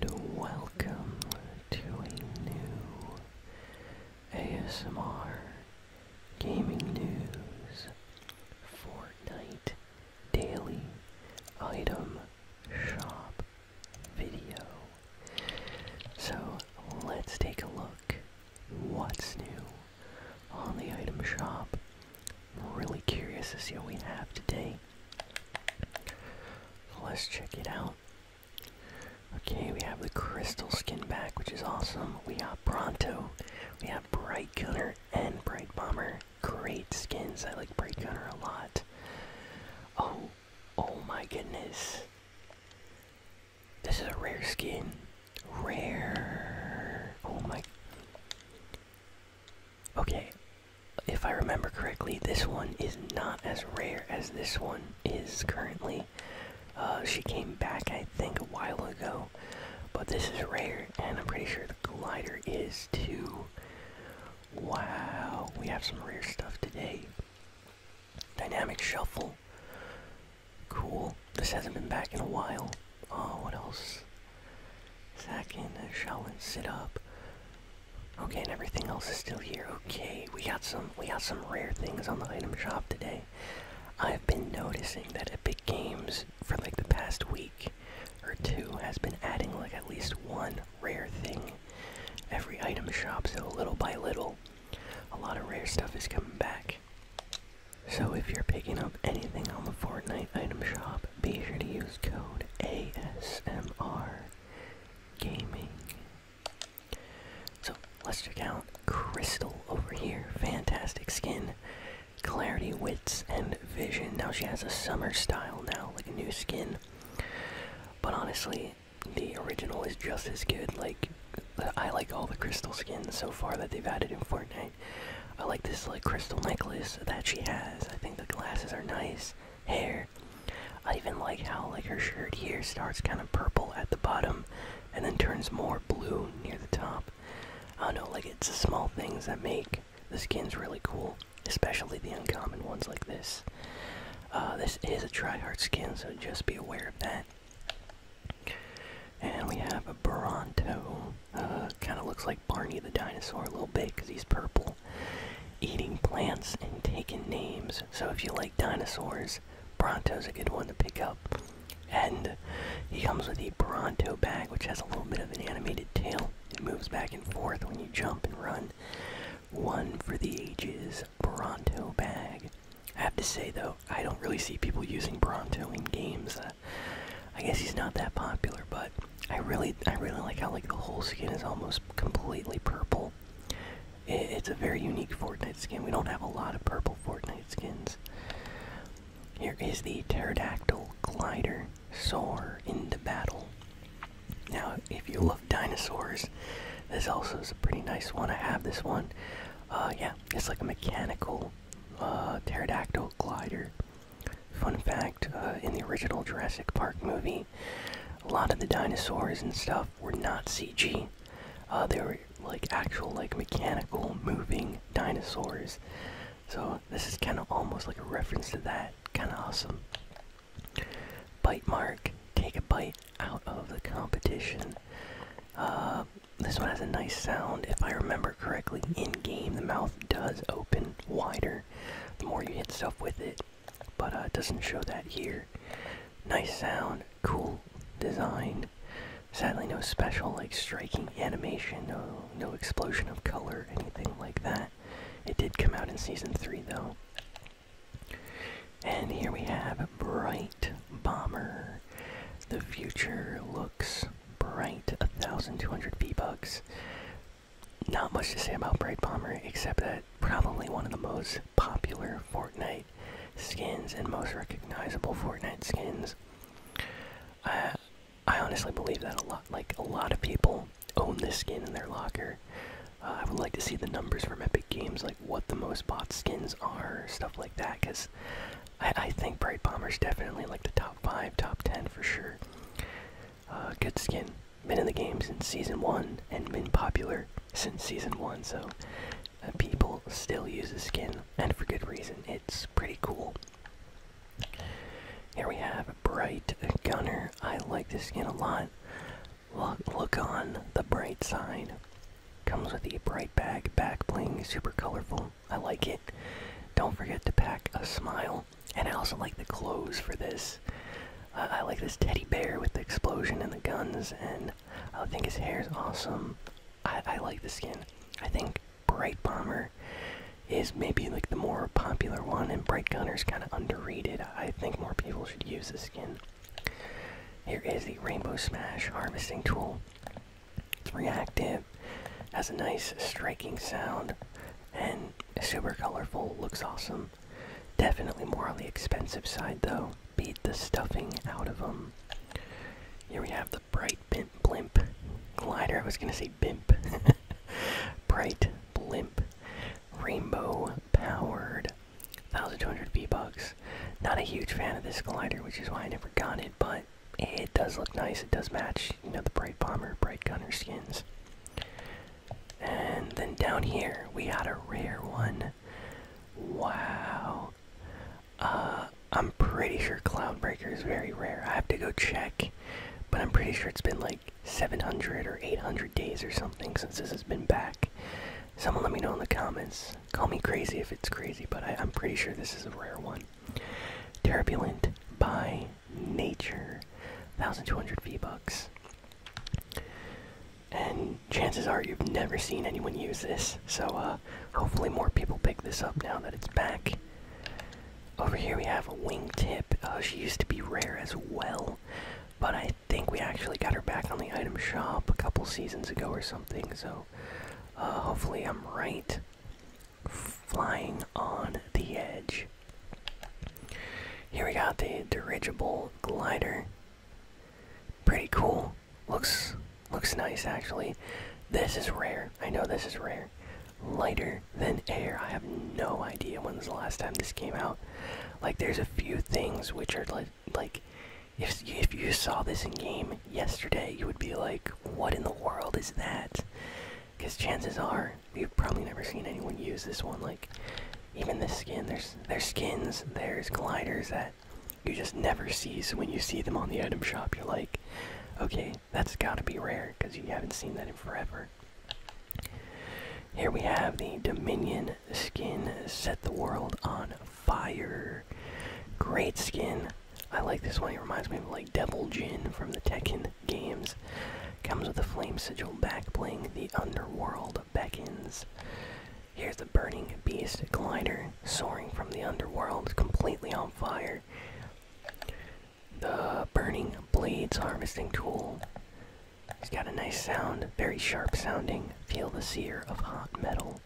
and welcome to a new ASMR Gaming News Fortnite Daily Item Shop video. So let's take a look what's new on the item shop. I'm really curious to see what we have today. Let's check it out. Okay, we have the crystal skin back, which is awesome. We got Bronto, we have Bright Gunner, and Bright Bomber. Great skins. I like Bright Gunner a lot. Oh, oh my goodness. This is a rare skin. Rare. Oh my. Okay, if I remember correctly, this one is not as rare as this one is currently. Uh, she came back, I think, a while ago, but this is rare, and I'm pretty sure the glider is too. Wow, we have some rare stuff today. Dynamic shuffle. Cool. This hasn't been back in a while. Oh, what else? Sack in, shell and sit up. Okay, and everything else is still here. Okay, we got some we got some rare things on the item shop today. I've been noticing that Epic Games for like the past week or two has been adding like at least one rare thing every item shop, so little by little a lot of rare stuff is coming back. So if you're picking up anything on the Fortnite item shop, be sure to use code ASMR Gaming. So let's check out Crystal over here. Fantastic skin. Clarity, wits, and vision. Now she has a summer style now, like a new skin. But honestly, the original is just as good. Like I like all the crystal skins so far that they've added in Fortnite. I like this like crystal necklace that she has. I think the glasses are nice. Hair. I even like how like her shirt here starts kind of purple at the bottom and then turns more blue near the top. I know, like it's the small things that make the skins really cool, especially the uncommon ones like this. Uh, this is a tryhard skin, so just be aware of that. And we have a Bronto. Uh, kind of looks like Barney the dinosaur a little bit because he's purple. Eating plants and taking names. So if you like dinosaurs, Bronto's a good one to pick up. And he comes with a Bronto bag, which has a little bit of an animated tail. It moves back and forth when you jump and run. One for the ages, Bronto bag. I have to say though, I don't really see people using Bronto in games. Uh, I guess he's not that popular, but I really, I really like how like the whole skin is almost completely purple. it's a very unique Fortnite skin. We don't have a lot of purple Fortnite skins. Here is the pterodactyl glider soar into battle. Now, if you love dinosaurs, this also is a pretty nice one. I have this one. Uh, yeah, it's like a mechanical uh, pterodactyl glider. Fun fact uh, in the original Jurassic Park movie, a lot of the dinosaurs and stuff were not CG. Uh, they were like actual, like mechanical moving dinosaurs. So this is kind of almost like a reference to that. Kind of awesome. Bite mark. Take a bite out of the competition. Uh, this one has a nice sound. If I remember correctly, in game the mouth does open wider the more you hit stuff with it. But uh, it doesn't show that here. Nice sound, cool design. Sadly, no special like striking animation, no no explosion of color, anything like that. It did come out in season three though. And here we have Bright Bomber. The future looks bright. 1,200 V-Bucks. Not much to say about Bright Bomber except that probably one of the most popular Fortnite skins and most recognizable Fortnite skins. I, I honestly believe that a lot. Like, a lot of people own this skin in their locker. Uh, I would like to see the numbers from Epic Games, like what the most bought skins are, stuff like that, because I, think Bright Bomber is definitely like the top 5, top 10 for sure. Uh, good skin. Been in the game since season one and been popular since season one, so uh, people still use the skin, and for good reason. It's pretty cool. Here we have Bright Gunner. I like this skin a lot. Look, look on the bright side. Comes with the bright bag back bling, super colorful. I like it. Don't forget to pack a smile and I also like the clothes for this. I like this teddy bear with the explosion and the guns, and I think his hair is awesome. I, I like the skin. I think Bright Bomber is maybe like the more popular one, and Bright Gunner is kind of underrated. I think more people should use this skin. Here is the Rainbow Smash harvesting tool. It's reactive. Has a nice striking sound and super colorful, looks awesome. Definitely more on the expensive side though. Beat the stuffing out of them. Here we have the Bright Bimp Blimp Glider. I was gonna say Bimp. Bright Blimp. Rainbow powered. 1200 V-Bucks. Not a huge fan of this glider, which is why I never got it, but it does look nice. It does match, you know, the bright bomber, bright gunner skins. And then down here we had a rare one. Wow. Uh, I'm pretty sure Cloudbreaker is very rare. I have to go check, but I'm pretty sure it's been like 700 or 800 days or something since this has been back. Someone let me know in the comments. Call me crazy if it's crazy, but I, I'm pretty sure this is a rare one. Turbulent by nature 1200 v-bucks and chances are you've never seen anyone use this so uh, hopefully more people pick this up now that it's back over here we have a wingtip uh, she used to be rare as well but i think we actually got her back on the item shop a couple seasons ago or something so uh, hopefully i'm right flying on the edge. Here we got the dirigible glider. Pretty cool. Looks looks nice actually. This is rare. I know this is rare. Lighter than air. I have no idea when's the last time this came out. Like there's a few things which are like like if if you saw this in game yesterday, you would be like, "What in the world is that?" Because chances are you've probably never seen anyone use this one. Like even this skin, there's there's skins, there's gliders that you just never see. So when you see them on the item shop, you're like, okay, that's got to be rare because you haven't seen that in forever. Here we have the Dominion skin, set the world on fire. Great skin. I like this one. It reminds me of like Devil Jin from the Tekken games. Comes with a flame sigil back playing The underworld beckons. Here's the burning beast glider soaring from the underworld, completely on fire. The burning blades harvesting tool. it has got a nice sound, very sharp sounding. Feel the sear of hot metal.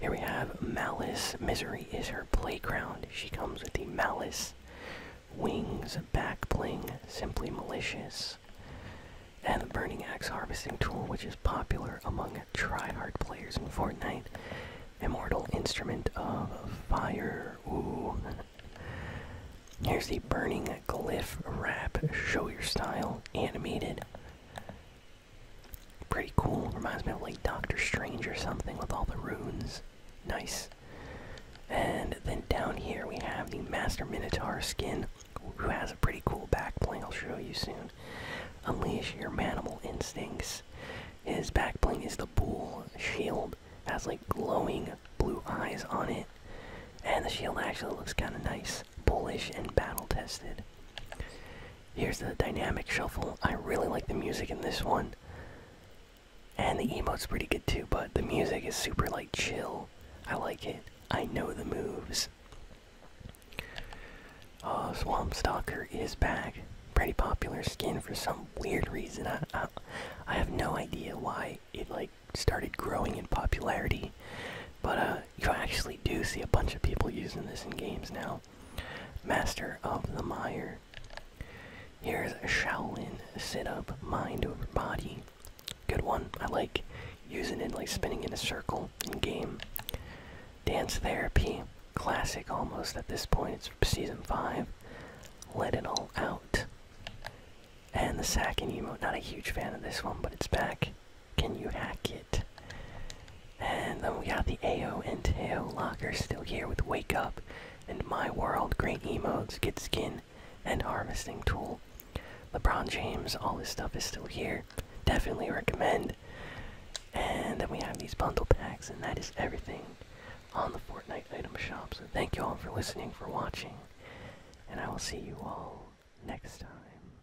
Here we have Malice. Misery is her playground. She comes with the Malice wings, back bling, simply malicious, and the Burning Axe harvesting tool, which is popular among tryhard players in Fortnite. Immortal instrument of fire. Ooh. Here's the Burning Glyph Wrap. Show your style. Animated. Pretty cool. Reminds me of like Doctor Strange or something with all the runes. Nice. And then down here we have the Master Minotaur skin, who has a pretty cool backbling. I'll show you soon. Unleash your manimal instincts. His backbling is the bull shield. has like glowing blue eyes on it, and the shield actually looks kind of nice, bullish and battle tested. Here's the dynamic shuffle. I really like the music in this one. And the emote's pretty good too, but the music is super like chill. I like it. I know the moves. Oh, Swamp Stalker is back. Pretty popular skin for some weird reason. I, I, have no idea why it like started growing in popularity. But uh, you actually do see a bunch of people using this in games now. Master of the Mire. Here's a Shaolin sit up, mind over body. Good one. I like using it like spinning in a circle in game. Dance Therapy. Classic almost at this point. It's season 5. Let It All Out. And the sack Sacking emote. Not a huge fan of this one, but it's back. Can you hack it? And then we got the AO and Tail Locker still here with Wake Up and My World, Great Emotes, Get Skin, and Harvesting Tool. LeBron James, all this stuff is still here. Definitely recommend. And then we have these bundle packs, and that is everything on the Fortnite item shop. So thank you all for listening, for watching, and I will see you all next time.